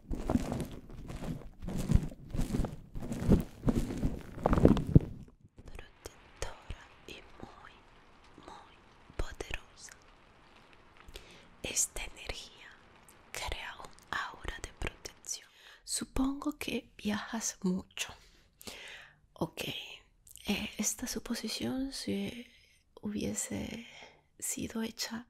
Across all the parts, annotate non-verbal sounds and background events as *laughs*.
protectora y muy, muy poderosa. Esta energía crea un aura de protección. Supongo que viajas mucho. Ok, eh, esta suposición si hubiese sido hecha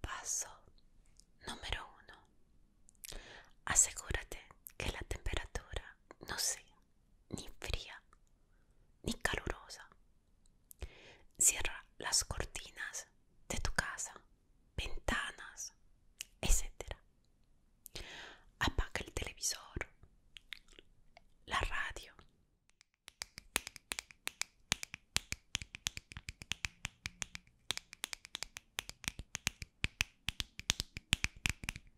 Paso número uno. Asegúrate que la temperatura no sea ni fría, ni calurosa. Cierra las cortinas de tu casa, ventanas, etcétera. Apaga el televisor, la radio.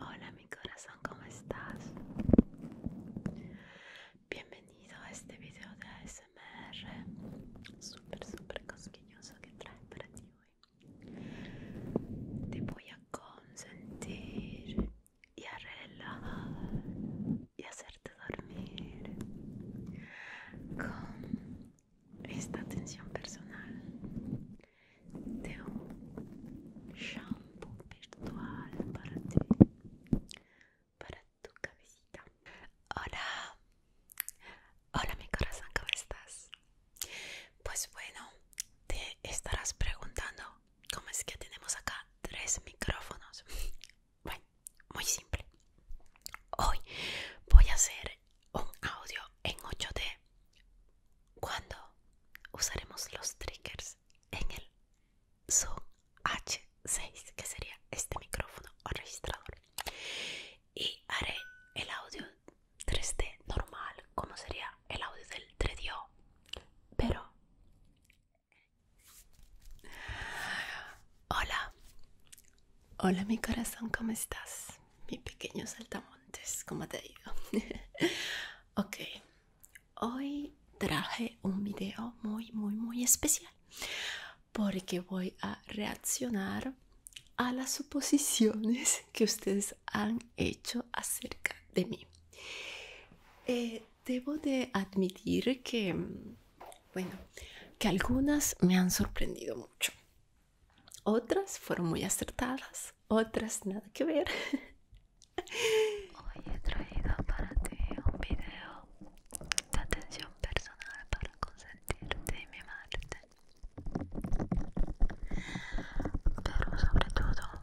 Hola mi corazón, ¿cómo estás? Bienvenido a este video de ASMR Súper, súper cosquilloso que trae para ti hoy Te voy a consentir y arreglar y hacerte dormir con esta atención personal de un shampoo virtual para ti, para tu cabecita. Hola, hola mi corazón, ¿cómo estás? Pues bueno, te estarás preguntando ¿Cómo es que tenemos acá tres micrófonos *laughs* bueno muy simple hoy voy a hacer un audio en 8d cuando usaremos los triggers en el zoom h6 que sería este micrófono o registrador y haré el audio 3d normal como sería el audio del tredio pero hola hola mi corazón cómo estás mi pequeño saltamontes cómo te digo? *laughs* ok hoy traje un video muy muy muy especial porque voy a reaccionar a las suposiciones *laughs* que ustedes han hecho acerca de mí. Eh, debo de admitir que, mm, bueno, que algunas me han sorprendido mucho. Otras fueron muy acertadas, otras nada que ver. Hoy he traído para ti un video de atención personal para consentirte y mimarte. Pero sobre todo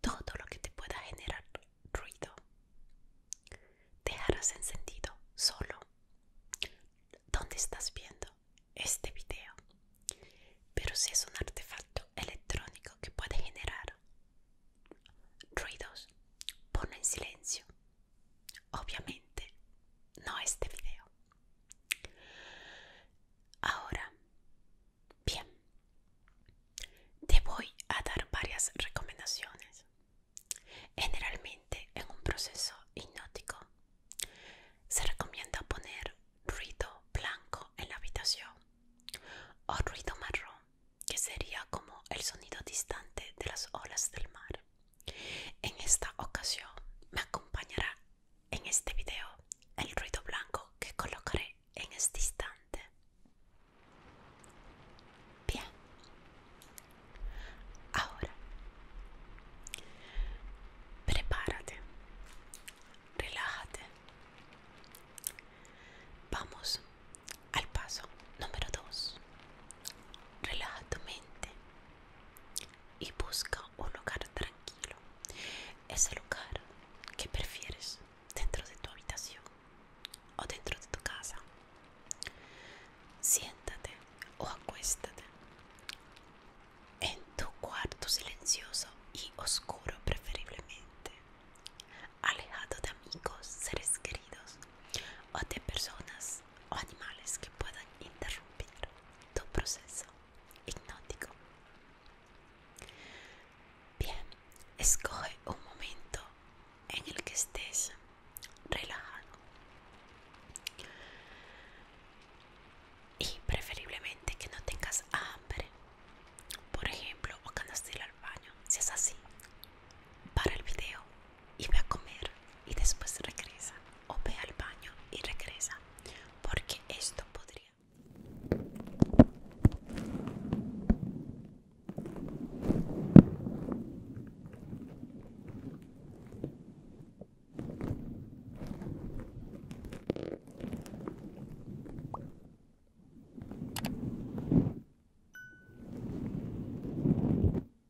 Todo lo que te pueda generar ruido dejarás encendido solo donde estás viendo este video. Pero si es un artefacto electrónico que puede generar ruidos, ponlo en silencio Obviamente, no este video. Ahora, bien, te voy a dar varias recomendaciones. Generalmente en un proceso hipnótico se recomienda poner ruido blanco en la habitación o ruido marrón, que sería como el sonido distante de las olas del mar. En esta ocasión me acompañará en este video el ruido blanco que colocaré en este instante. Bien. Ahora, prepárate, relájate. Vamos al paso número 2. Relaja tu mente y busca un lugar tranquilo, ese lugar que prefieres dentro de tu habitación o dentro de tu casa. Siéntate o acuéstate en tu cuarto silencioso y oscuro preferiblemente, alejado de amigos, seres queridos o de personas o animales que puedan interrumpir tu proceso hipnótico. Bien, escoge un momento en el que estés relajado y preferiblemente que no tengas hambre, por ejemplo, o cuando al baño. Si es así, para el video y ve a comer y después regresa o ve al baño y regresa porque esto podría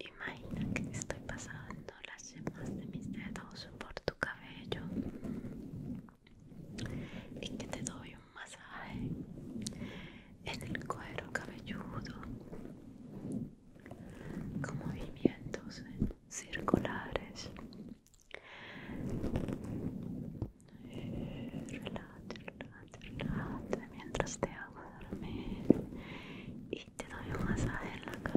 Imagina que estoy pasando las yemas de mis dedos por tu cabello y que te doy un masaje en el cuero cabelludo con movimientos circulares. Relate, relate, relate mientras te hago dormir y te doy un masaje en la cabeza.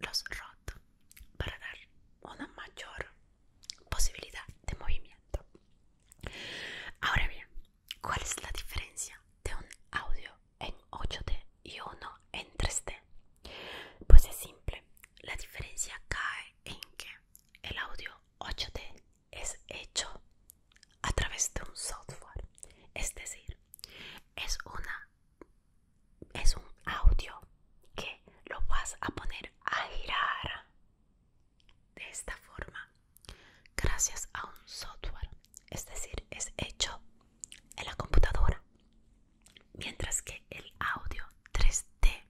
Los roto para dar una mayor posibilidad de movimiento. Ahora bien, ¿cuál es la diferencia de un audio en 8D y uno en 3D? Pues es simple, la diferencia cae en que el audio 8D es hecho a través de un software, es decir, es una es un audio que lo vas a poner a girar de esta forma, gracias a un software, es decir, es hecho en la computadora, mientras que el audio 3D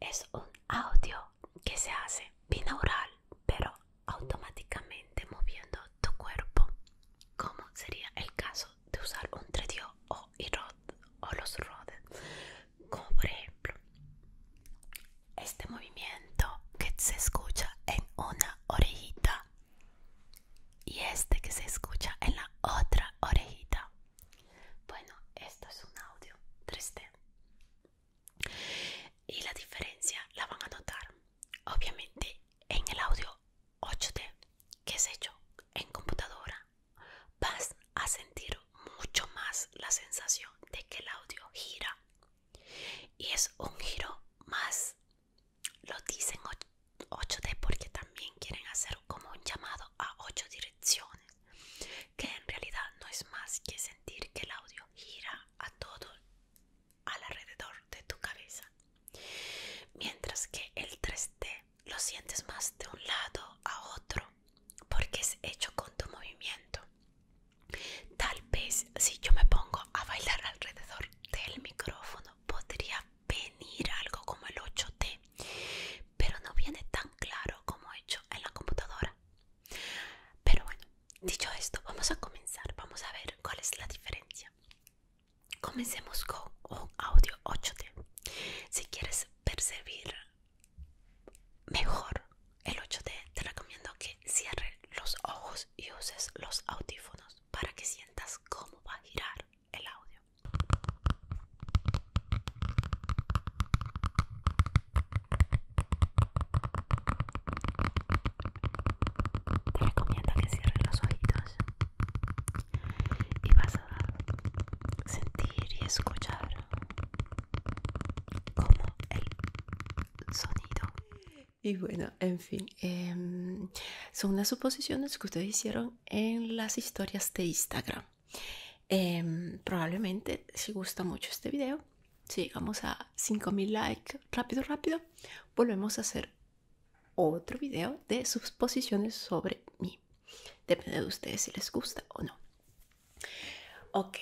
es un audio que se hace binaural, pero automáticamente moviendo tu cuerpo, como sería el caso de usar un 3D o, o los Rode como por ejemplo este movimiento que se escucha en una orejita y este que se escucha en la otra orejita. Bueno, esto es un audio 3D. Y la diferencia la van a notar, obviamente, en el audio 8D que es hecho en computadora vas a sentir mucho más la sensación de que el audio gira y es un giro más lo dicen 8D porque también quieren hacer como un llamado a 8 direcciones que en realidad no es más que sentir que el audio gira a todo alrededor de tu cabeza mientras que el 3D lo sientes más de un lado a otro porque es hecho con tu movimiento. Tal vez si yo me pongo a bailar alrededor del micrófono podría venir algo como el 8T, pero no viene tan claro como hecho en la computadora. Pero bueno, dicho esto, vamos a comenzar, vamos a ver cuál es la diferencia. Comencemos con un audio 8 t Si quieres percibir mejor el 8D te recomiendo que cierres los ojos y uses los audífonos para que sientas cómo va a girar el audio te recomiendo que cierres los ojitos y vas sentir y escuchar como el sonido. Y bueno, en fin, em, son las suposiciones que ustedes hicieron en las historias de Instagram. Em, probablemente, si gusta mucho este video, si llegamos a 5000 likes rápido, rápido, volvemos a hacer otro video de suposiciones sobre mí. Depende de ustedes si les gusta o no. Ok,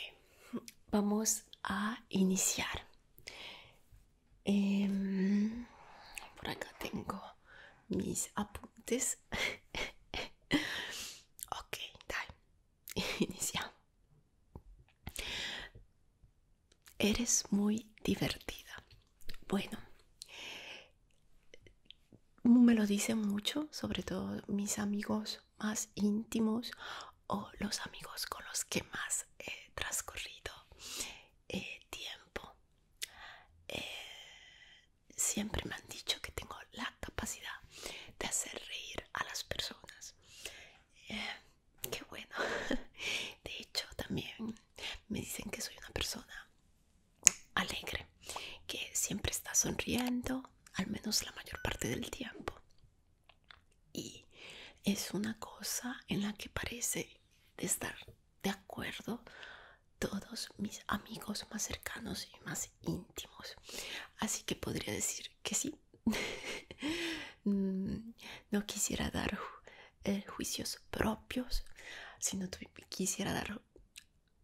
vamos a iniciar. Em, por acá tengo mis apuntes. *laughs* ok, dale. *laughs* Iniciamos. Eres muy divertida. Bueno, me lo dicen mucho, sobre todo mis amigos más íntimos o los amigos con los que más he transcurrido eh, tiempo. Eh, siempre me han dicho que tengo la capacidad de hacer reír a las personas. Eh, qué bueno. *laughs* De hecho, también me dicen que soy una persona alegre, que siempre está sonriendo, al menos la mayor parte del tiempo. Y es una cosa en la que parece estar de acuerdo todos mis amigos más cercanos y más íntimos. Así que podría decir que sí. *laughs* Mm, no quisiera dar eh, juicios propios, sino quisiera dar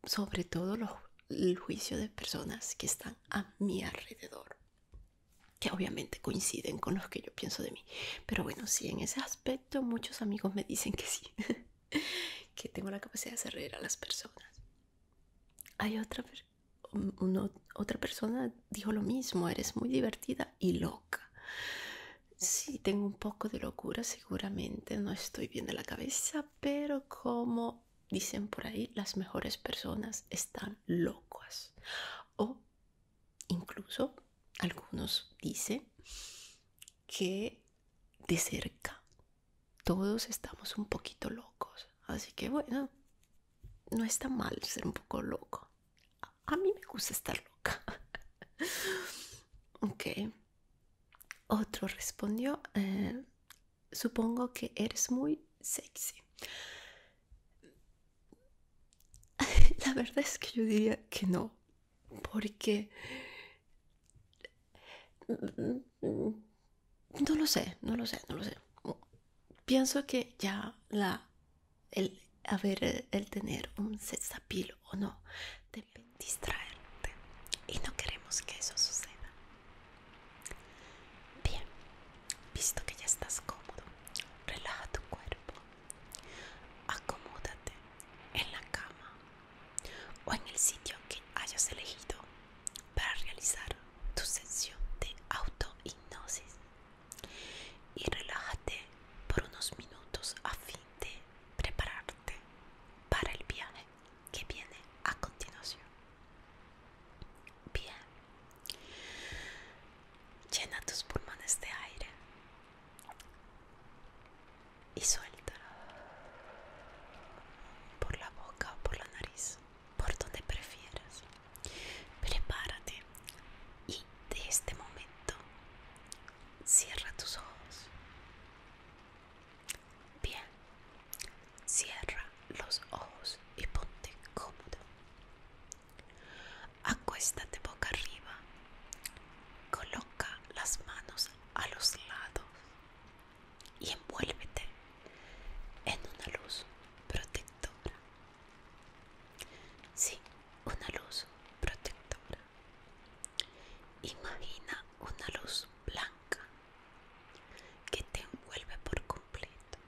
sobre todo los el juicio de personas que están a mi alrededor, que obviamente coinciden con los que yo pienso de mí. Pero bueno, sí, en ese aspecto muchos amigos me dicen que sí, *laughs* que tengo la capacidad de hacer reír a las personas. Hay otra, una otra persona dijo lo mismo, eres muy divertida y loca. Sí, tengo un poco de locura, seguramente no estoy bien de la cabeza, pero como dicen por ahí, las mejores personas están locas. O incluso algunos dicen que de cerca todos estamos un poquito locos. Así que bueno, no está mal ser un poco loco. A mí me gusta estar loca. *laughs* ok. Otro respondió, eh, supongo que eres muy sexy. *laughs* La verdad es que yo diría que no, porque no lo sé, no lo sé, no lo sé. Pienso que ya la el el tener un sexapil o no debe distraerte y no queremos que eso suceda. Bien, visto que ya estás cómodo, relaja tu cuerpo. Acomódate en la cama o en el sitio que hayas elegido para realizar tu sesión de autohipnosis y relájate por unos minutos a fin de prepararte para el viaje que viene a continuación. Bien, llena tus pulmones de aire y suelta por la boca o por la nariz, por donde prefieras. Prepárate y de este momento cierra tus ojos. Bien, Cierra los ojos y ponte cómodo. Acuéstate boca arriba. Coloca las manos a los lados y envuélvete en una luz protectora. Sí, una luz protectora. Imagina una luz blanca que te envuelve por completo.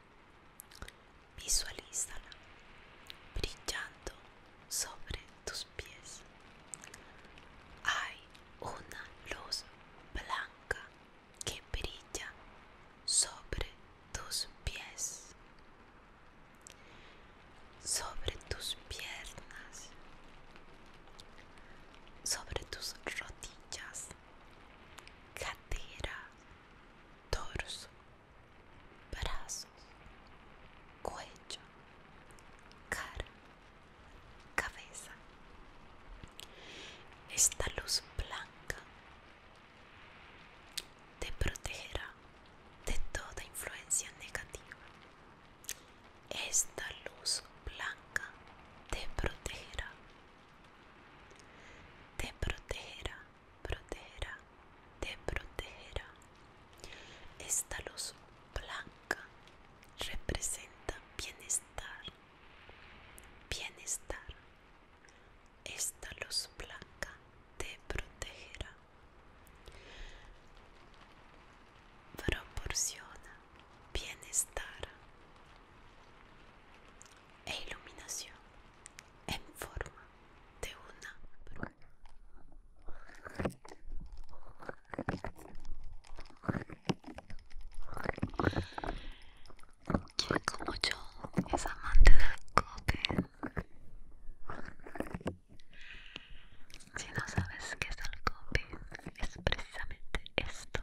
Visualízala brillando sobre tus pies. Hay una luz blanca que brilla sobre tus pies, sobre tus piernas, sobre tus rodillas, cadera, torso, brazos, cuello, cara, cabeza. Esta luz blanca te protegerá de toda influencia negativa. Esta luz blanca te protegerá te protegerá, protegerá, te protegerá. Esta luz blanca representa bienestar, bienestar. Esta luz blanca te protegerá. Proporciona bienestar e iluminación en forma de una bruma. Quien como yo es amante del coque. Si no sabes qué es el copy es precisamente esto.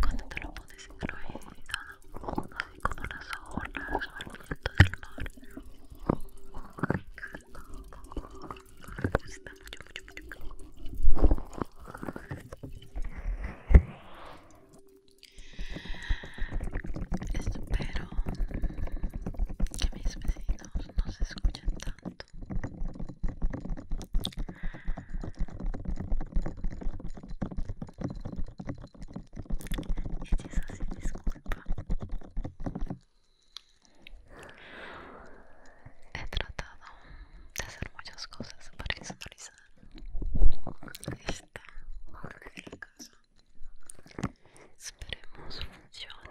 Cuando te lo pones en la todo, así como las olas o el viento del mar. Me encanta. Me gusta mucho, mucho, mucho. Espero que mis vecinos no se escuchen tanto y este disculpa. He tratado de hacer muchas cosas para personalizar esta la Esperemos funcione.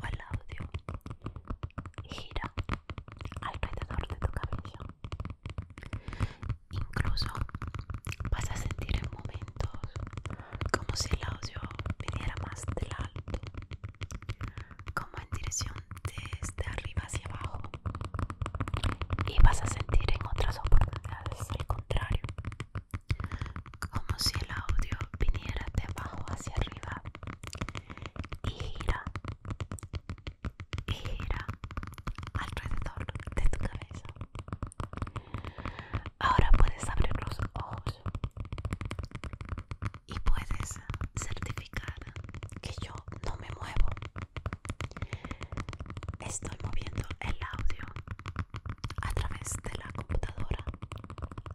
o el audio gira alrededor de tu cabeza. Incluso vas a sentir en momentos como si el audio viniera más del alto, como en dirección desde arriba hacia abajo. Y vas a sentir en otras oportunidades al contrario, como si el audio viniera de abajo hacia arriba y gira gira alrededor de tu cabeza. Ahora puedes abrir los ojos y puedes certificar que yo no me muevo. Estoy moviendo el audio a través de la computadora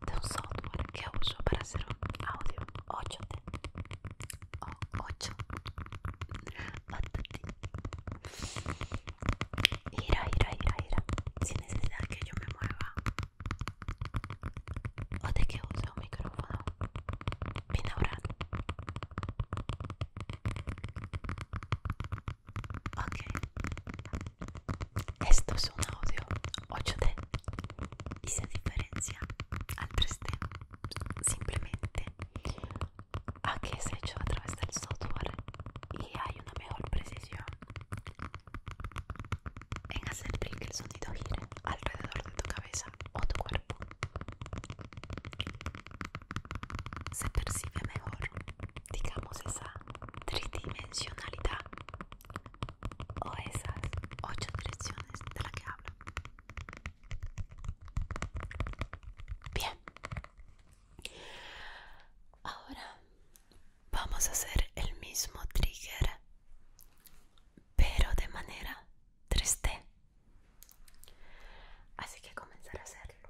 de un software que uso para hacer audio 8 o 8 Ira Gira, gira, gira, gira Sin necesidad que yo me mueva O de que use un micrófono binaural Ok esto es un audio 8D y se diferencia al 3D simplemente a que es hecho a través del software y hay una mejor precisión en hacer que el sonido gire alrededor de tu cabeza o tu cuerpo. Se percibe mejor digamos esa tridimensionalidad o esas ocho direcciones de la que hablo. Bien, ahora vamos a hacer el mismo trigger, pero de manera 3D. Así que comenzar a hacerlo.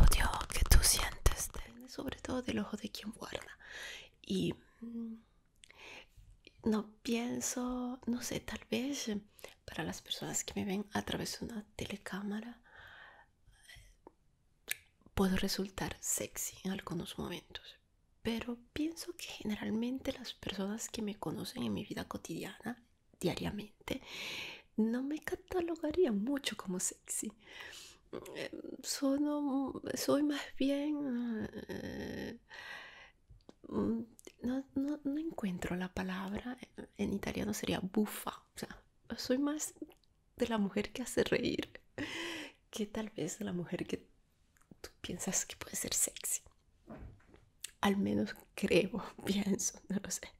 audio que tú sientes, sobre todo del ojo de quien guarda. Y mm, no pienso, no sé, tal vez eh, para las personas que me ven a través de una telecámara, eh, puedo resultar sexy en algunos momentos. Pero pienso que generalmente las personas que me conocen en mi vida cotidiana, diariamente, no me catalogaría mucho como eh, soy más bien... Eh, mm, no, encuentro la palabra, eh, en italiano sería bufa. O sea, soy más de la mujer que hace reír que tal vez de la mujer que tú piensas que puede ser sexy. Al menos creo, *laughs* pienso, no lo sé.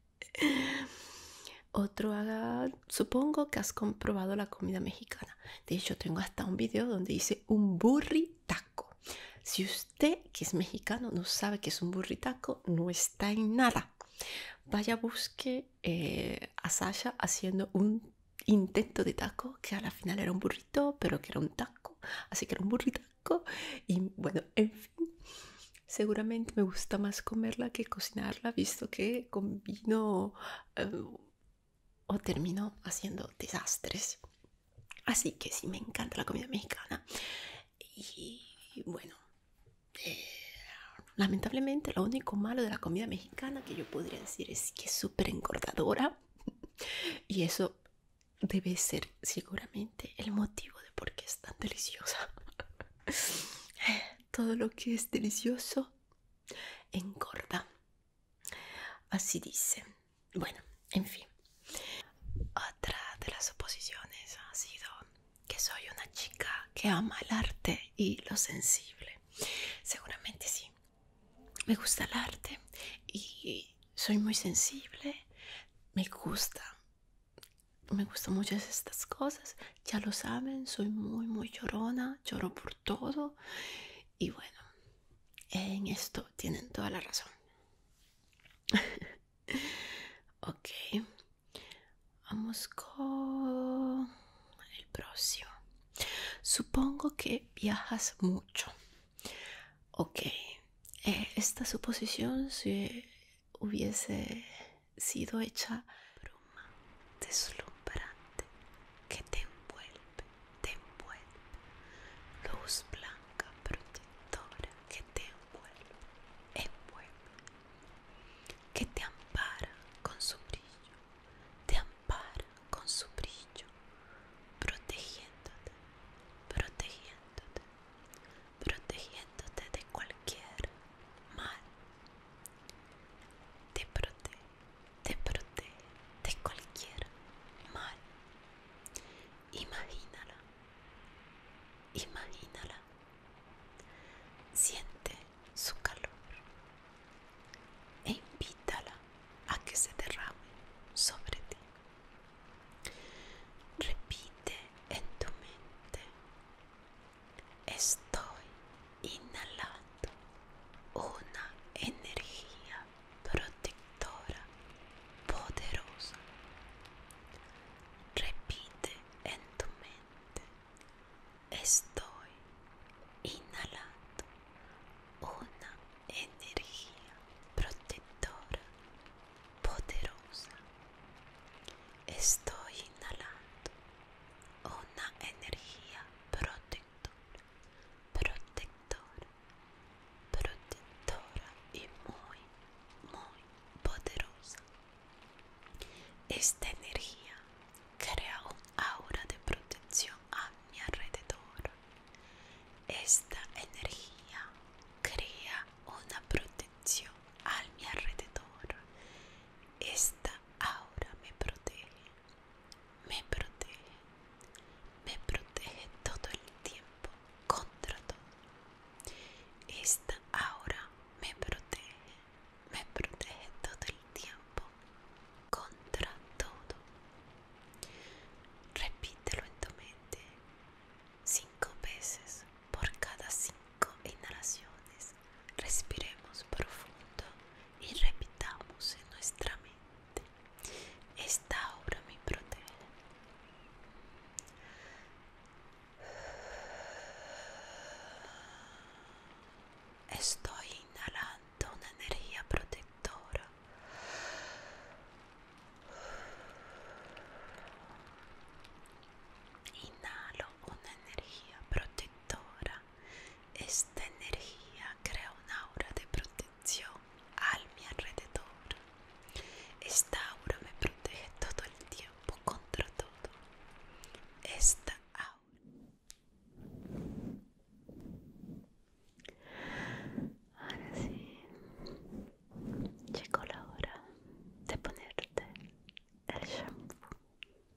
Otro haga, supongo que has comprobado la comida mexicana. De hecho, tengo hasta un video donde dice un burritaco. Si usted, que es mexicano, no sabe que es un burritaco, no está en nada. Vaya, busque eh, a Sasha haciendo un intento de taco, que a la final era un burrito, pero que era un taco, así que era un burritaco. Y bueno, en fin seguramente me gusta más comerla que cocinarla, visto que combino em, o termino haciendo desastres. Así que sí, me encanta la comida mexicana. Y bueno, eh, lamentablemente lo único malo de la comida mexicana que yo podría decir es que es súper engordadora. *laughs* y eso debe ser seguramente el motivo de por qué es tan deliciosa. *laughs* todo lo que es delicioso engorda. Así dice. Bueno, en fin. Otra de las oposiciones ha sido que soy una chica que ama el arte y lo sensible. Seguramente sí. Me gusta el arte y soy muy sensible. Me gusta me gustan mucho estas cosas. Ya lo saben, soy muy, muy llorona, lloro por todo. Y bueno, en esto tienen toda la razón. *laughs* ok, vamos con el próximo. Supongo que viajas mucho. Ok, eh, esta suposición si hubiese sido hecha bruma deslumbrante que te envuelve, te envuelve, luz blanca protectora que te envuelve, envuelve, que te ampara con su brillo, te ampara con su brillo, protegiéndote, protegiéndote, protegiéndote de cualquier mal. Te protege, te protege de cualquier mal. Imagínala, imagínala. Siente su calor e invítala a que se derrame sobre ti. Repite en tu mente Estoy inhalando una energía protectora poderosa. Repite en tu mente. Estoy inhalando una energía protectora poderosa. Estoy inhalando una energía protectora, protectora, protectora y muy, muy poderosa. Esta energía crea un aura de protección a mi alrededor. Esta energía crea una protección al mi alrededor. Esta aura me protege, me protege, me protege todo el tiempo contra todo. Esta aura me protege, me protege todo el tiempo contra todo. Repítelo en tu mente cinco veces por cada cinco inhalaciones respiremos profundo y repitamos en nuestra mente, esta obra me protege. Estoy inhalando una energía protectora. Inhalo una energía protectora. Esta energía crea una aura de protección al mi alrededor. Esta aura me protege todo el tiempo contra todo. Esta aura. Ahora sí, llegó la hora de ponerte el shampoo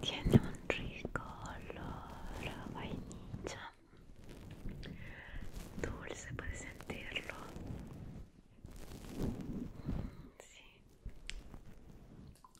Tiene un rico olor vainilla, dulce, puedes sentirlo. Sí.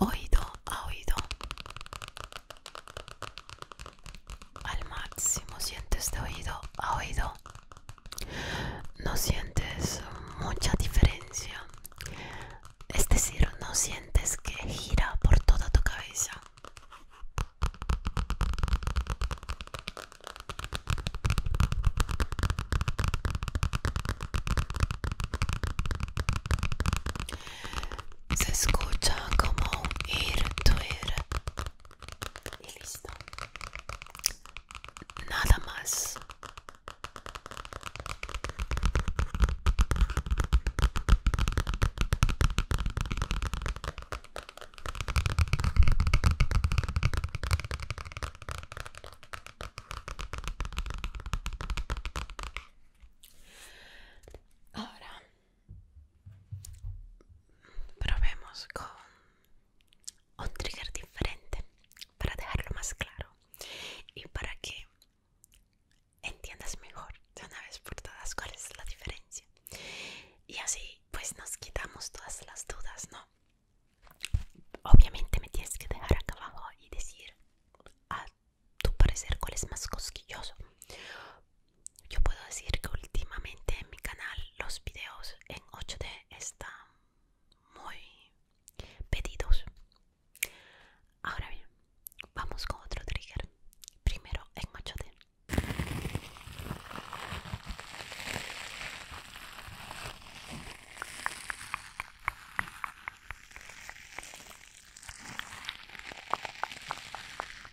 青いどん青いど al máximo sientes de oído a oído no sientes mucha diferencia es decir no sientes que gira por toda tu cabeza se escucha como ir tuir y listo nada más Ahora Probemos con un trigger diferente para dejarlo más claro y para que entiendas mejor de una vez por todas cuál es la diferencia. Y así pues nos quitamos todas las dudas, ¿no? Obviamente me tienes que dejar acá abajo y decir a tu parecer cuál es más cosquilloso yo puedo decir que últimamente en mi canal los videos en 8D están muy pedidos. Ahora bien, vamos con otro trigger. Primero en 8D.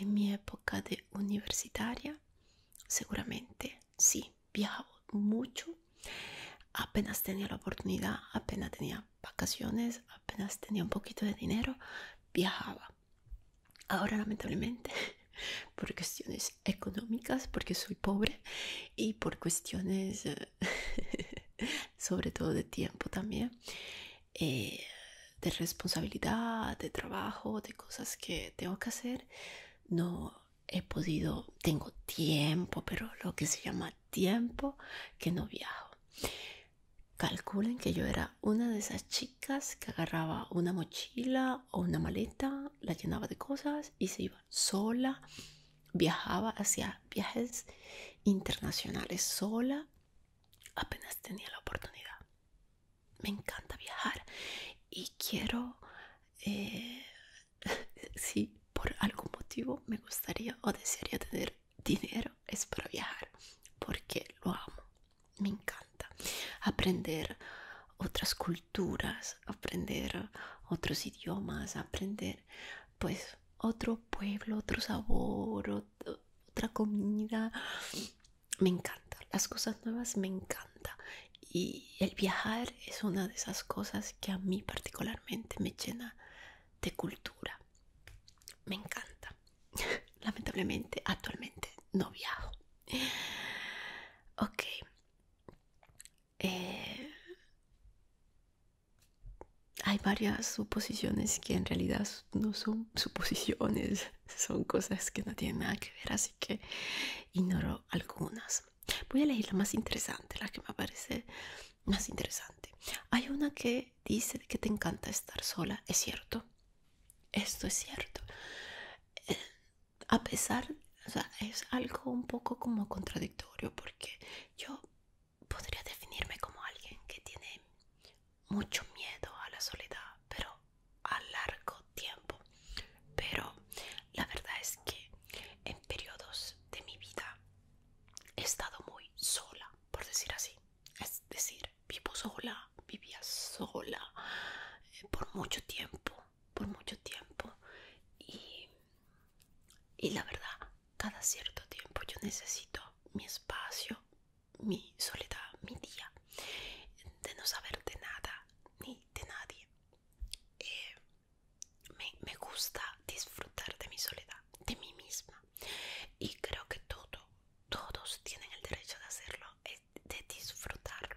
En mi época de universitaria, seguramente sí, viajaba mucho. Apenas tenía la oportunidad, apenas tenía vacaciones, apenas tenía un poquito de dinero, viajaba. Ahora lamentablemente, *laughs* por cuestiones económicas, porque soy pobre y por cuestiones eh, *laughs* sobre todo de tiempo también, eh, de responsabilidad, de trabajo, de cosas que tengo que hacer, no he podido, tengo tiempo, pero lo que se llama tiempo que no viajo. Calculen que yo era una de esas que agarraba una mochila o una maleta, la llenaba de cosas y se iba sola, viajaba hacia viajes internacionales sola, apenas tenía la oportunidad. Me encanta viajar y quiero, eh, *laughs* si por algún motivo me gustaría o desearía tener dinero, es para viajar, porque lo amo me encanta aprender otras culturas, aprender otros idiomas, aprender pues otro pueblo, otro sabor, otra comida. Me encanta, las cosas nuevas me encanta y el viajar es una de esas cosas que a mí particularmente me llena de cultura. Me encanta. *laughs* Lamentablemente actualmente no viajo ok. Eh, hay varias suposiciones que en realidad no son suposiciones, *laughs* son cosas que no tienen nada que ver, así que ignoro algunas. Voy a elegir la más interesante, la que me parece más interesante. Hay una que dice que te encanta estar sola, es cierto. Esto es cierto a pesar, es algo un poco como contradictorio porque yo podría definirme como alguien que tiene mucho miedo a la soledad, pero a largo tiempo. Pero la verdad es que en periodos de mi vida he estado muy sola, por decir así. Es decir, vivo sola, vivía sola, por mucho tiempo, por mucho tiempo. Y, la verdad, cada cierto tiempo yo necesito mi espacio, mi soledad, mi día, de no saber de nada ni de nadie. Eh, me, me gusta disfrutar de mi soledad, de mí misma. Y creo que todo, todos tienen el derecho de hacerlo, de, disfrutarlo.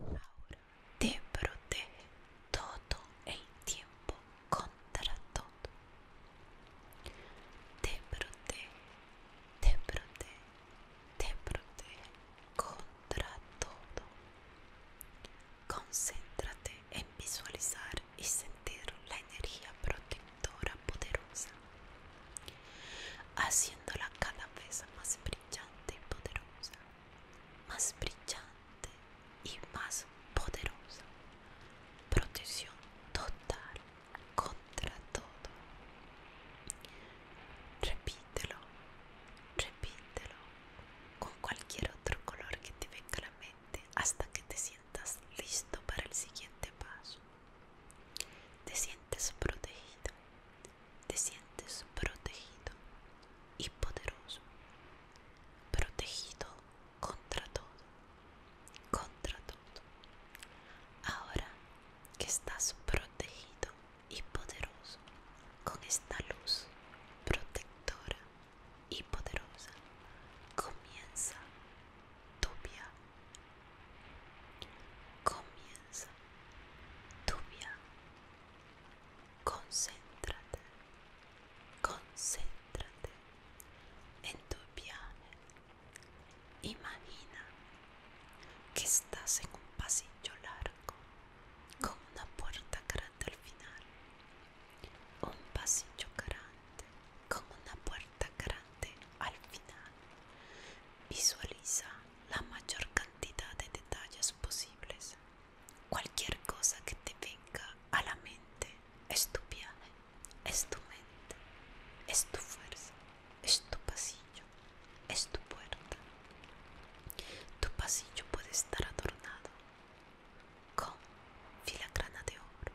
Ahora te protege todo el tiempo contra todo. Te protege, te protege, te protege contra todo. Concéntrate en visualizar y sentir la energía protectora poderosa, haciéndola cada vez más brillante y poderosa, más brillante y más poderosa. Protección total contra todo. Repítelo, repítelo con cualquier otro color que te venga a la mente hasta que te sientas listo para el siguiente paso. Te sientes protegido, te sientes protegido y poderoso, protegido contra todo, contra todo. Ahora que estás protegido y poderoso con esta luz protectora y poderosa, comienza tu viaje. Comienza Tubia. Concéntrate. Concéntrate en tu viaje. Imagina que estás en un pasillo largo con una puerta grande al final. Un pasillo grande con una puerta grande al final. Visualiza la mayor cantidad de detalles posibles. Cualquier cosa que te venga a la mente es tu viaje, es tu mente, es tu fuerza, es tu pasillo, es tu puerta. Tu pasillo puede estar adornado con filagrana de oro,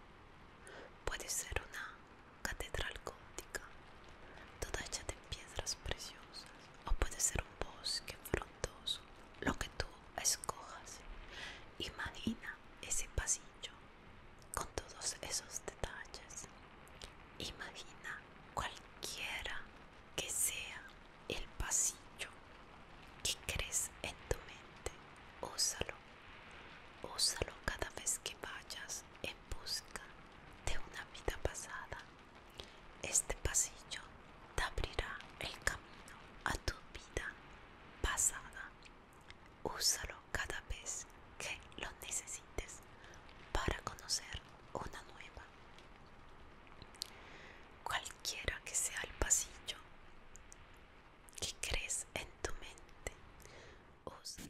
puede ser una catedral gótica, toda hecha de piedras preciosas o puede ser un bosque frondoso, lo que tú escojas. Imagina ese pasillo con todos esos detalles. Imagina cualquiera que sea el pasillo que crees en tu mente. Ósalo ósalo cada vez que vayas en busca de una vida pasada este pasillo te abrirá el camino a tu vida pasada. Úsalo cada vez que lo necesites para conocer una nueva. Cualquiera que sea el pasillo que crees en tu mente, úsalo.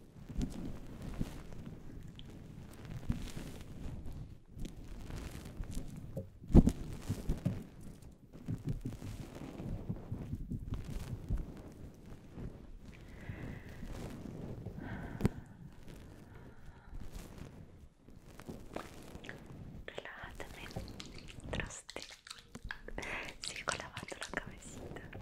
Relájate en el traste. Sigo lavando la cabecita.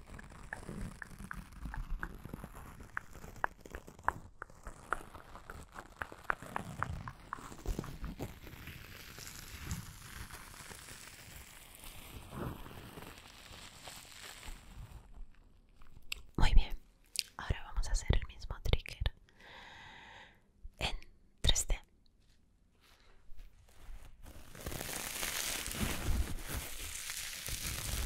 Muy bien, ahora vamos a hacer el mismo trigger en 3D.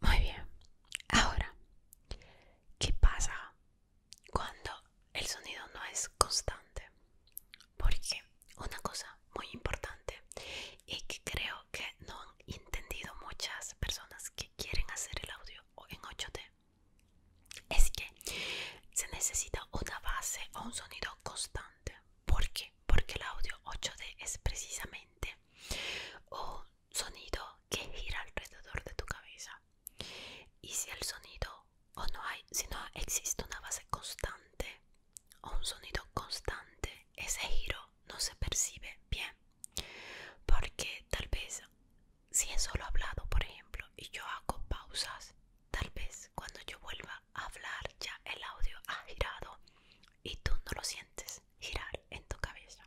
Muy bien. Ahora, ¿qué pasa cuando el sonido no es constante? Porque una cosa muy importante y que creo que no han entendido muchas personas que quieren hacer el audio en 8D es que se necesita una base o un sonido constante. ¿Por qué? Porque el audio 8D es precisamente un sonido que gira alrededor de tu cabeza. Y si el sonido o no hay, si no existe una base constante o un sonido constante, ese giro no se percibe bien. Porque tal vez si es solo hablado, por ejemplo, y yo hago pausas, tal vez cuando yo vuelva a hablar ya el audio ha girado y tú no lo sientes girar en tu cabeza.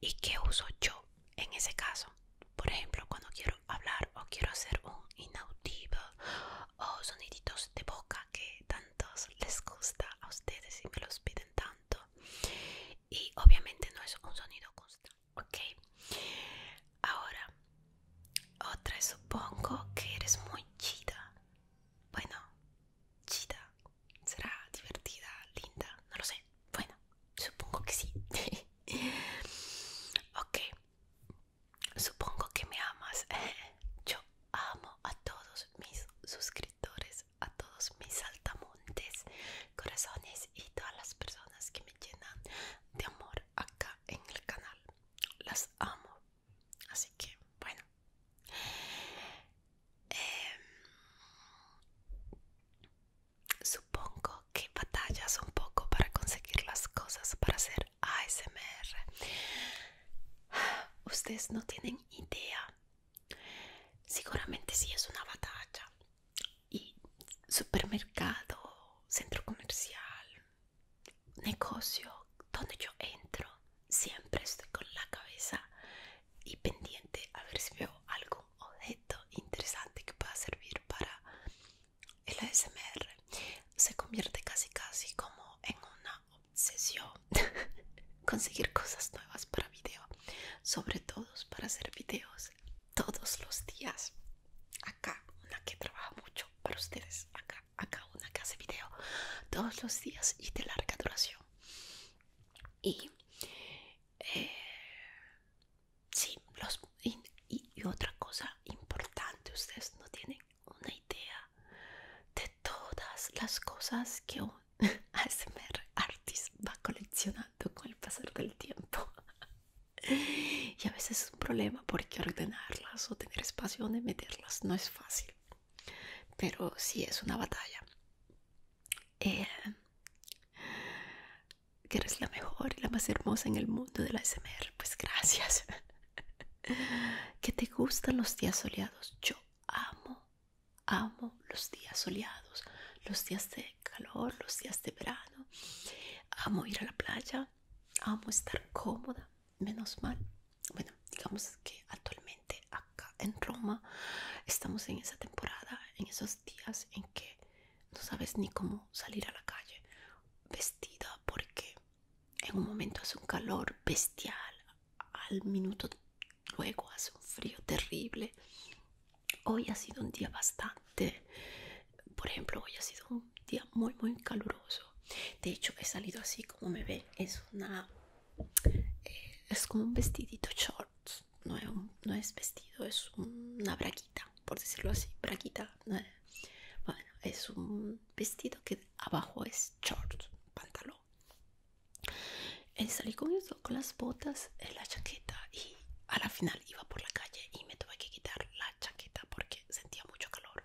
¿Y qué uso yo en ese caso? Por ejemplo, cuando quiero hablar o quiero hacer un inauditivo o soniditos de boca que tantos les gusta a ustedes y me los piden tanto. Y obviamente no es un sonido justo ¿ok? Ahora, otra, supongo que eres muy chida. Bueno, chida, será divertida, linda, no lo sé. Bueno, supongo que sí. *laughs* ok, supongo que me amas. *laughs* Yo amo a todos mis suscriptores, a todos mis saltamontes corazones y todas las personas que me llenan de amor acá en el canal. Las amo. Así que, bueno. Em, supongo que batallas un poco para conseguir las cosas para hacer ASMR. *sighs* Ustedes no tienen idea. Seguramente sí es una batalla. Y supermercado, centro comercial, negocio, donde yo entro, siempre estoy con la cabeza y pendiente a ver si veo algún objeto interesante que pueda servir para el ASMR. Se convierte casi casi como en una obsesión *laughs* conseguir cosas nuevas para video, sobre todo para hacer videos todos los días. Acá una que trabaja mucho para ustedes, acá, una que hace video todos los días y de larga duración. Y eh, los, y, otra cosa importante, ustedes no tienen una idea de todas las cosas que un ASMR *laughs* artist va coleccionando con el pasar del tiempo. Y a veces es un problema porque ordenarlas o tener espacio donde meterlas no es fácil. Pero sí es una batalla. Eh, que eres la mejor y la más hermosa en el mundo de la SMR. Pues gracias. *laughs* que te gustan los días soleados. Yo amo, amo los días soleados, los días de calor, los días de verano. Amo ir a la playa, amo estar cómoda. Menos mal. Bueno, digamos que actualmente acá en Roma estamos en esa temporada, en esos días en que no sabes ni cómo salir a la calle vestida porque en un momento hace un calor bestial, al minuto luego hace un frío terrible. Hoy ha sido un día bastante, por ejemplo, hoy ha sido un día muy, muy caluroso. De hecho, he salido así como me ven, es una... Eh, es como un vestidito shorts no es, vestido, es una braquita, por decirlo así, braquita. Bueno, es un vestido que abajo es short, pantalón. salí con eso, con las botas, en la chaqueta y a la final iba por la calle y me tuve que quitar la chaqueta porque sentía mucho calor.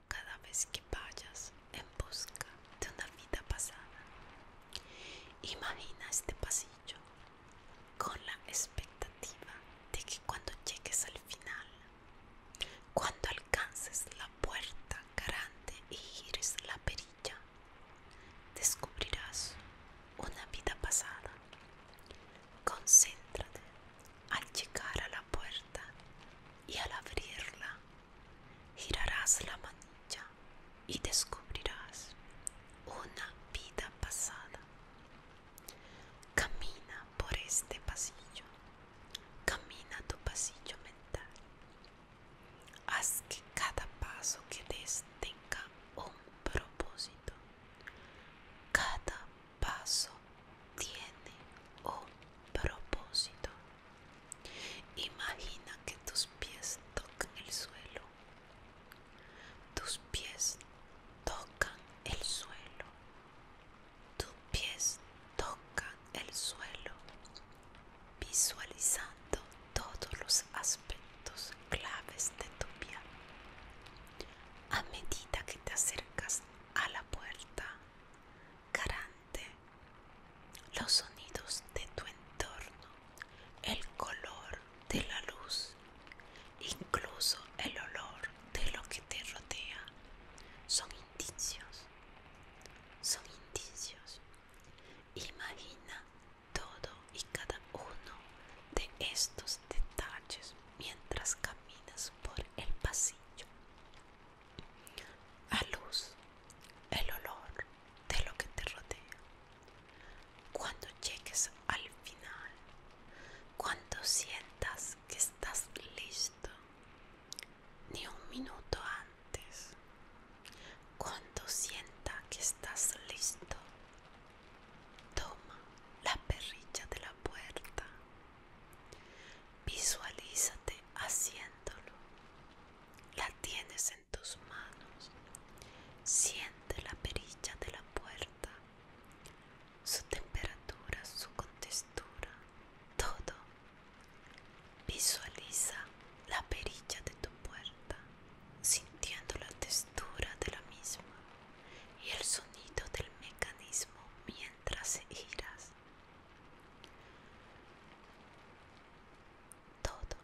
cada vez que vayas en busca de una vida pasada. Imagina este pasillo con la expectativa de que cuando llegues al final, cuando alcances la puerta grande y gires la perilla, descubrirás una vida pasada. Concéntrate al llegar a la puerta y al abrirla girarás la manilla y descubrirás una vida pasada. Camina por este pasillo, camina tu pasillo mental. Haz que cada paso que des tenga un propósito. Cada paso tiene un propósito. Imagina que tus pies tocan el suelo. Tus pies tocan el suelo. Tus pies tocan el suelo. Visualizando todos los aspectos claves de tu vida. A medida que te acercas a la puerta, garante los sonidos de tu entorno, el color de la luz, incluso el olor de lo que te rodea, son indicios, son indicios. Imagina todo y cada uno de estos detalles mientras caminas por el pasillo a luz el olor de lo que te rodea. Cuando llegues al final, cuando sientas que estás listo, ni un minuto antes, cuando sienta que estás listo, toma la perrilla de la puerta. Visualízate haciéndolo la tienes en tus manos. Siente la perilla de la puerta, su temperatura, su contextura, todo. Visualiza la perilla de tu puerta, sintiendo la textura de la misma y el sonido del mecanismo mientras giras. Todo.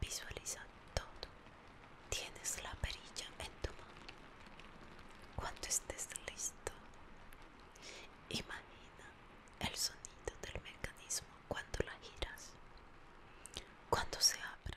Visualiza todo. Tienes la perilla en tu mano. Cuando estés listo, imagina el sonido del mecanismo cuando la giras. Cuando se abre.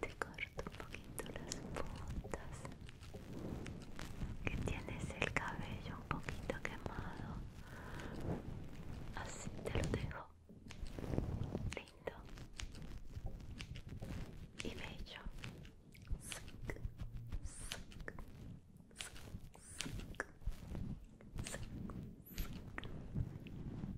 Te corto un poquito las puntas. Que tienes el cabello un poquito quemado. Así te lo dejo. Lindo. Y bello.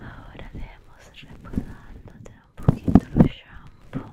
Ahora debemos repasándote un poquito el shampoo.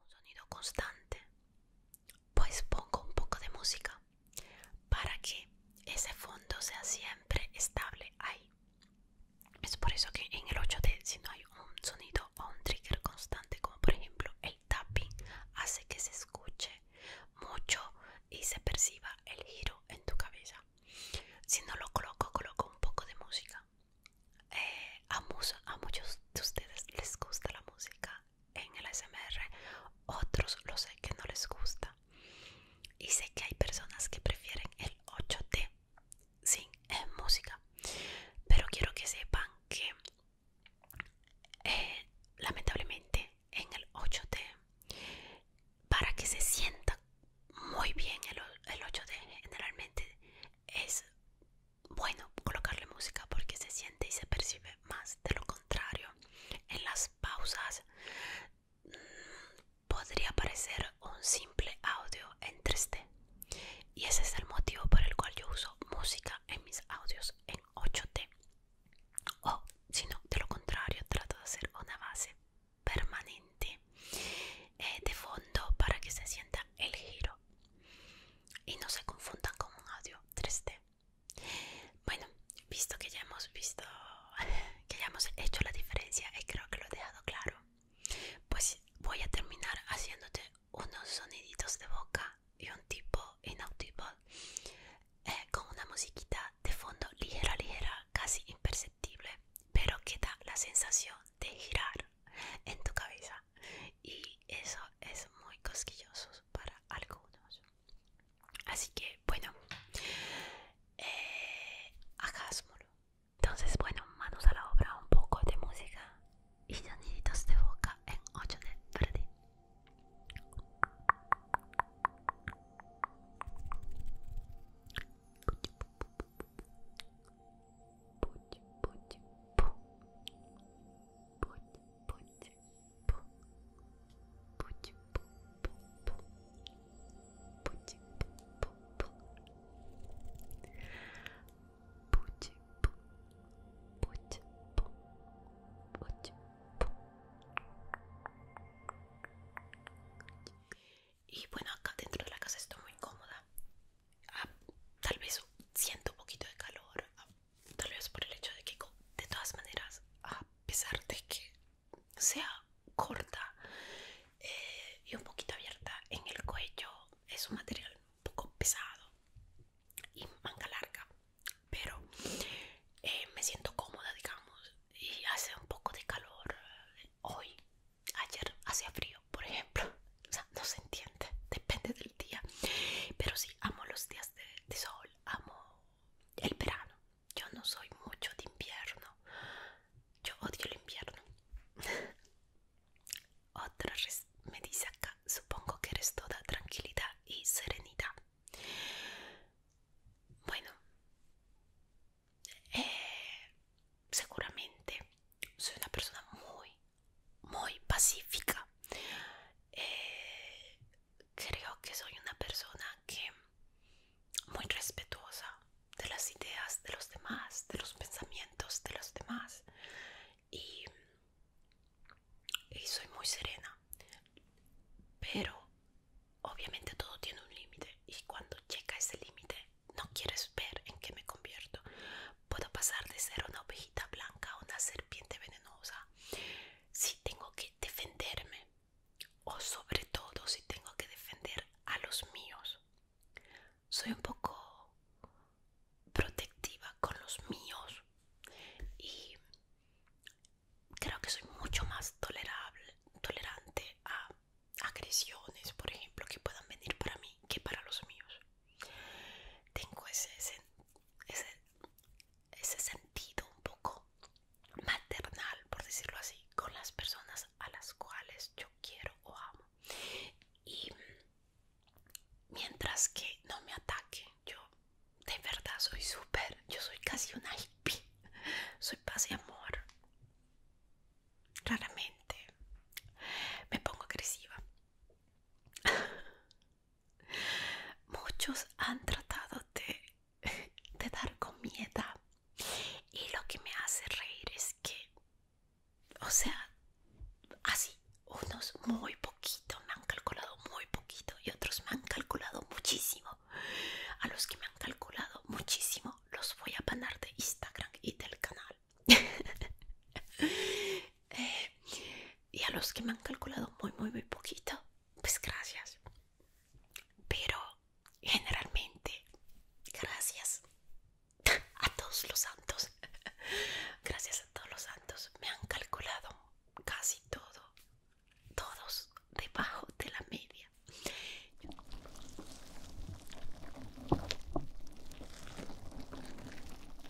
un sonido constante pues pongo un poco de música para que ese fondo sea siempre estable ahí es por eso que en el 8D si no hay un sonido o un trigger constante como por ejemplo el tapping hace que se escuche mucho y se perciba el giro en tu cabeza si no lo coloco coloco un poco de música eh, a, a muchos de ustedes les gusta la música en el ASMR, otros lo sé que no les gusta. Y sé que hay personas que prefieren el 8T sin eh, música. Pero quiero que sepan que eh, lamentablemente en el 8T, para que se sienta muy bien el, el 8T generalmente es bueno colocarle música porque se siente y se percibe más. De lo contrario, en las pausas mm, podría aparecer un simple audio en 3D. Y ese es el motivo por el cual yo uso música en mis audios en 8D. O si no, de lo contrario, trato de hacer una base permanente eh, de fondo para que se sienta el giro y no se confundan con un audio 3D. Bueno, visto que ya hemos visto *laughs* que ya hemos hecho la diferencia y creo que lo he dejado claro, pues voy a terminar haciéndote unos soniditos de boca y un tipo inaudible eh, con una musiquita de fondo ligera, ligera, casi imperceptible, pero que da la sensación de girar en tu cabeza y eso es muy cosquilloso para algunos así que bueno eh, entonces bueno manos a la obra un poco de música y soniditos de boca en 8 de verde y bueno, acá dentro de la casa estoy muy cómoda tal vez siento un poquito de calor, tal vez por el hecho de que de todas maneras, a pesar de que sea corta eh, y un poquito abierta en el cuello, es un material un poco pesado y manga larga, pero eh, me siento cómoda, digamos, y hace un poco de calor eh, hoy. Ayer hacía frío, por ejemplo. O sea, no se entiende, depende del día. Pero sí, amo los días de, sol, amo el verano. Yo no soy mucho de invierno. Yo odio el invierno. *laughs* Otra me dice acá, supongo que eres toda tranquilidad y serenidad. Bueno, eh, seguramente soy una persona muy, muy pacífica. Eh, creo que soy una persona que muy respetuosa de las ideas de los demás, de los pensamientos de los demás y, y soy muy serena. Pero obviamente todo tiene un límite y cuando llega ese límite no quieres ver en qué me convierto puedo pasar de ser una ovejita blanca a una serpiente venenosa si tengo que defenderme o sobre todo si tengo que defender a los míos soy un poco protectiva con los míos y creo que soy mucho más tolerable tolerante a agresiones por ejemplo que puedan venir para mí que para los míos tengo ese, ese, sentido un poco maternal, por decirlo así, con las personas a las cuales yo quiero o amo. Y mientras que no me ataque, yo de verdad soy súper, yo soy casi una hippie, soy paz y amor. Raramente me pongo agresiva, Muchos han tratado de, de dar comida y lo que me hace reír es que, o sea, así, unos muy poquito me han calculado muy poquito y otros me han calculado muchísimo. A los que me han calculado muchísimo los voy a banar de Instagram y del canal. *laughs* Eh, y a los que me han calculado muy, muy, muy poquito, pues gracias. Pero generalmente, gracias *laughs* a todos los santos. *laughs* Gracias a todos los santos, me han calculado casi todo, todos debajo de la media.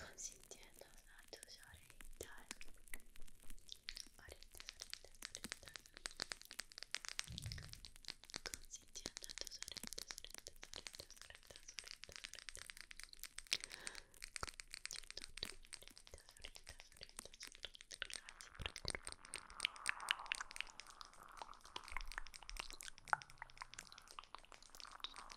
consintiéndonos a tus orejitas. Orejitas, orejitas, orejitas. Consintiendo a tus orejitas, orejitas, orejitas, orejitas, orejitas. Consintiendo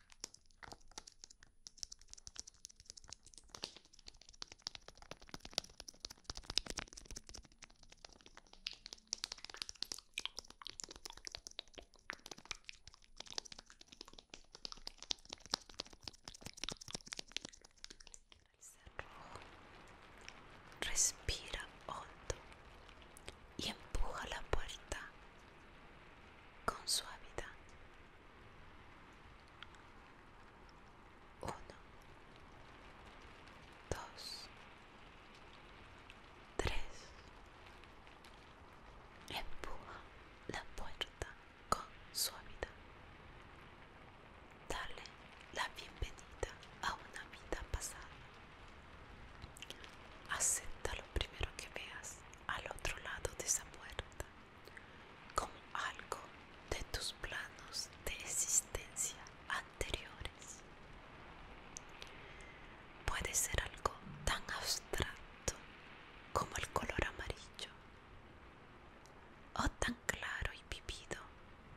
Respira hondo y empuja la puerta con suavidad. uno dos tres Empuja la puerta con suavidad. Dale la bienvenida a una vida pasada. Acepta lo primero que veas al otro lado de esa puerta, como algo de tus planos de existencia anteriores. Puede ser algo tan abstracto como el color amarillo, o tan claro y vivido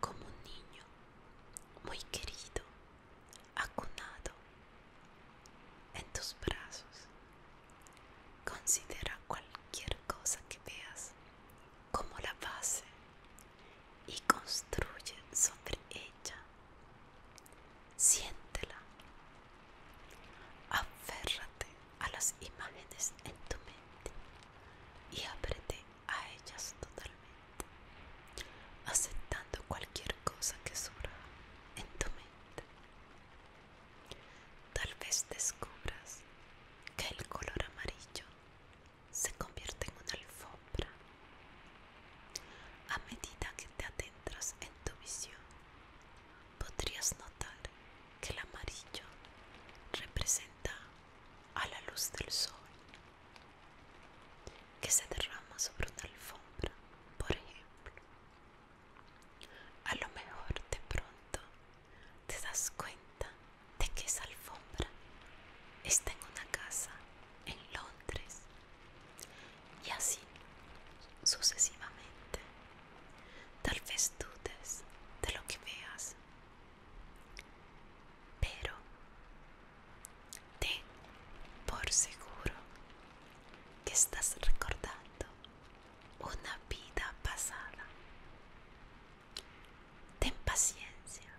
como un niño muy querido, acunado en tus brazos. Considera cualquier cosa que veas como la base y construye sobre ella. Siéntela. Aférrate a las imágenes en tu mente y ábrete a ellas totalmente, aceptando cualquier cosa que surja en tu mente. Tal vez descubras que el color amarillo se convierte en una alfombra a medida que te adentras en tu visión podrías notar que el amarillo representa a la luz del sol que se derrama sobre una alfombra por ejemplo a lo mejor de pronto te das cuenta de que esa alfombra está en una casa en Londres y así sucesivamente. Tal vez dudes de lo que veas, pero te por seguro que estás recordando una vida pasada. Ten paciencia.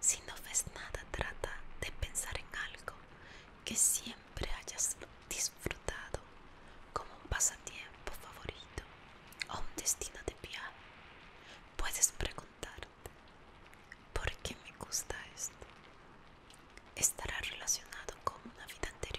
Si no ves nada, trata de pensar en algo que siempre hayas disfrutado como un pasatiempo favorito o un destino de viaje. Puedes preguntarte, ¿por qué me gusta esto? estará relacionado con una vida anterior.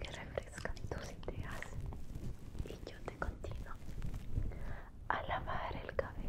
que refresca tus ideas y yo te continúo a lavar el cabello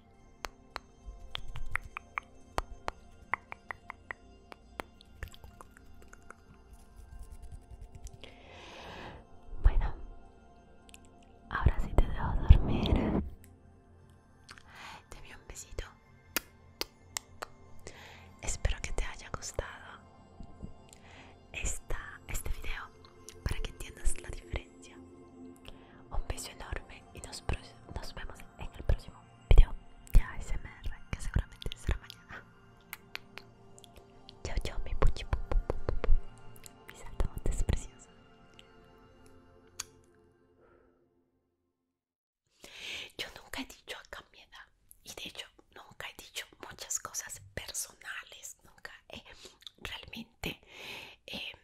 Bueno, ahora sí te dejo dormir. Te envío un besito. Espero que te haya gustado esta, este video para que entiendas la diferencia. Un beso enorme y nos, nos vemos en el próximo video de ASMR que seguramente será mañana. Chao, chao, mi puchi, mi pu, pu, Me siento Yo nunca he dicho a mi edad y de hecho nunca he dicho muchas cosas personales, nunca he realmente em,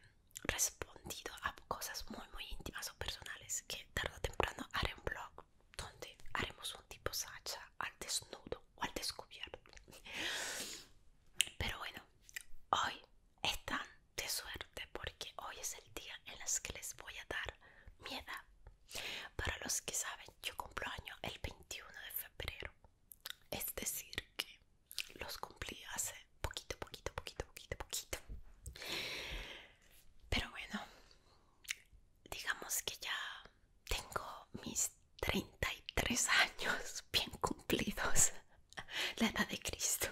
respondido a cosas muy muy íntimas o personales que tarde o temprano haré un blog donde haremos un tipo Sacha al desnudo o al descubierto pero bueno hoy es tan de suerte porque hoy es el día en las que les voy a dar mi edad para los que saben yo cumplo año el 21 de febrero es decir que los cumplí hace poquito poquito poquito poquito poquito pero bueno, digamos que ya tengo mis 33 años bien cumplidos. *laughs* La edad de Cristo.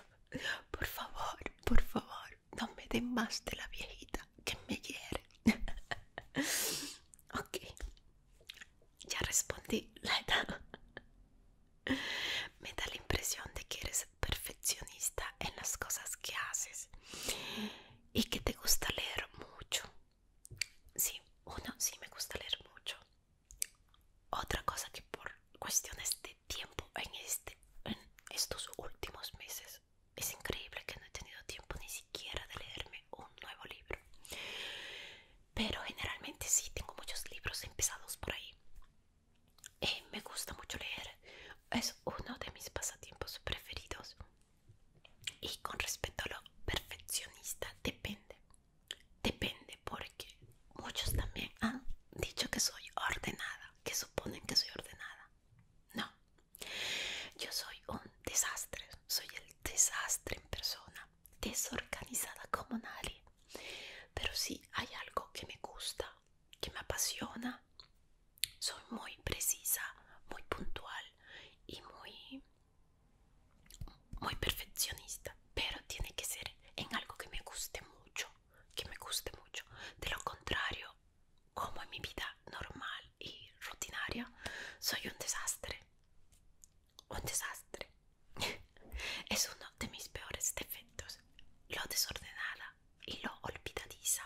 Por favor, por favor, no me den más de la viejita que me hiere. *laughs* ok, ya respondí la edad. *laughs* Me da la impresión de que eres perfeccionista en las cosas que haces y que te gusta leer mucho. Sí, uno, sí me gusta leer mucho. Otra cosa que por cuestiones de tiempo en, este, en estos últimos meses es increíble que no he tenido tiempo ni siquiera de leerme un nuevo libro. Pero generalmente sí, tengo muchos libros empezados por ahí y eh, me gusta mucho leer, es uno de mis pasatiempos preferidos. Y con respecto a lo perfeccionista, depende. Depende porque muchos también han dicho que soy ordenada, que suponen que soy ordenada. No, yo soy un desastre, soy el desastre en persona, desorganizada como nadie. Pero si hay algo que me gusta que me apasiona. Soy muy precisa, muy puntual y muy, muy perfeccionista, pero tiene que ser en algo que me guste mucho, que me guste mucho. De lo contrario, como en mi vida normal y rutinaria, soy un desastre. Un desastre. *laughs* es uno de mis peores defectos, lo desordenada y lo olvidadiza.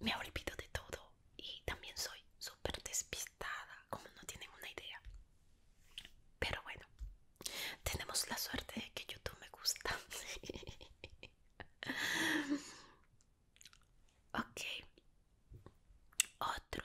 me olvido de todo y también soy súper despistada, como no tienen una idea. Pero bueno, tenemos la suerte de que YouTube me gusta. *laughs* ok, otro.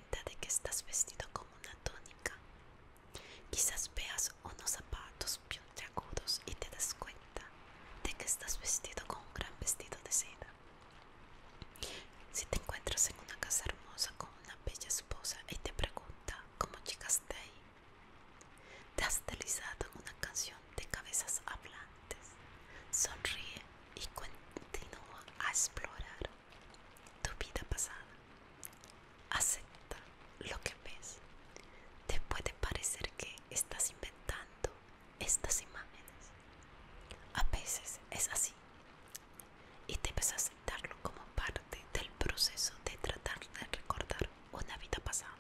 de que estás vestido como una tónica Quizás veas unos zapatos puntiagudos y te das cuenta de que estás vestido con un gran vestido de seda. Si te encuentras en una casa hermosa con una bella esposa y te pregunta cómo llegaste ahí, te has deslizado en una canción de cabezas hablantes. Sonríe y continúa a explorar tu vida pasada. Acepta lo que ves. Te puede parecer que estás inventando estas imágenes. A veces es así. Y debes aceptarlo como parte del proceso de tratar de recordar una vida pasada.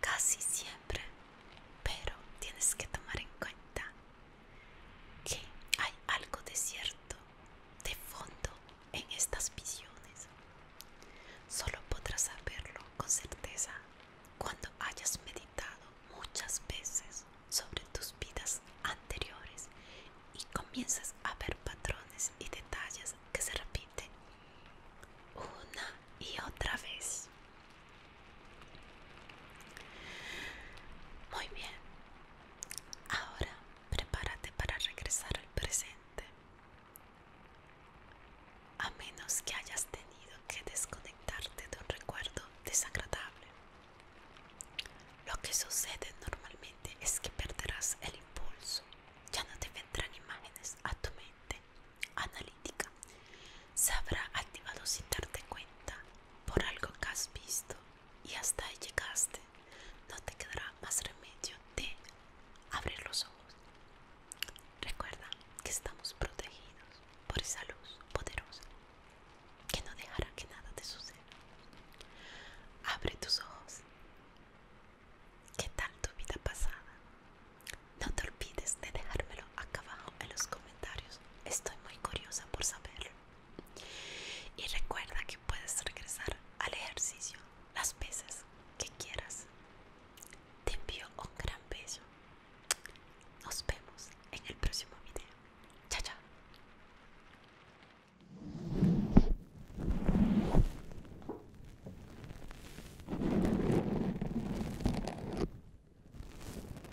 Casi siempre, pero tienes que tomar en cuenta que hay algo de cierto de fondo en estas visiones. Solo podrás saberlo con certeza cuando hayas meditado muchas veces sobre tus vidas anteriores y comienzas a ver patrones y detalles que se repiten una y otra vez. Muy bien, Ahora prepárate para regresar al presente. A menos que hayas tenido que desconectarte de un recuerdo desagradable. Lo que sucede normalmente es que perderás el impulso. Ya no te vendrán imágenes a tu mente analítica. Se habrá activado sin darte cuenta por algo que has visto y hasta ahí llegaste, no te quedará más remedio de abrir los ojos. Recuerda que estamos protegidos por esa luz poderosa que no dejará que nada te suceda. Abre tus ojos. ¿Qué tal tu vida pasada? No te olvides de dejármelo acá abajo en los comentarios. Estoy muy curiosa por saberlo. Y recuerda que puedes regresar al ejercicio las veces que quieras. Te envío un gran beso. Nos vemos en el próximo video. Chao, chao.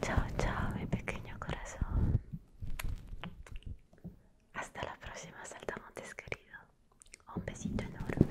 Chao, chao, mi pequeño corazón. Hasta la próxima, saltamontes querido. Un besito enorme.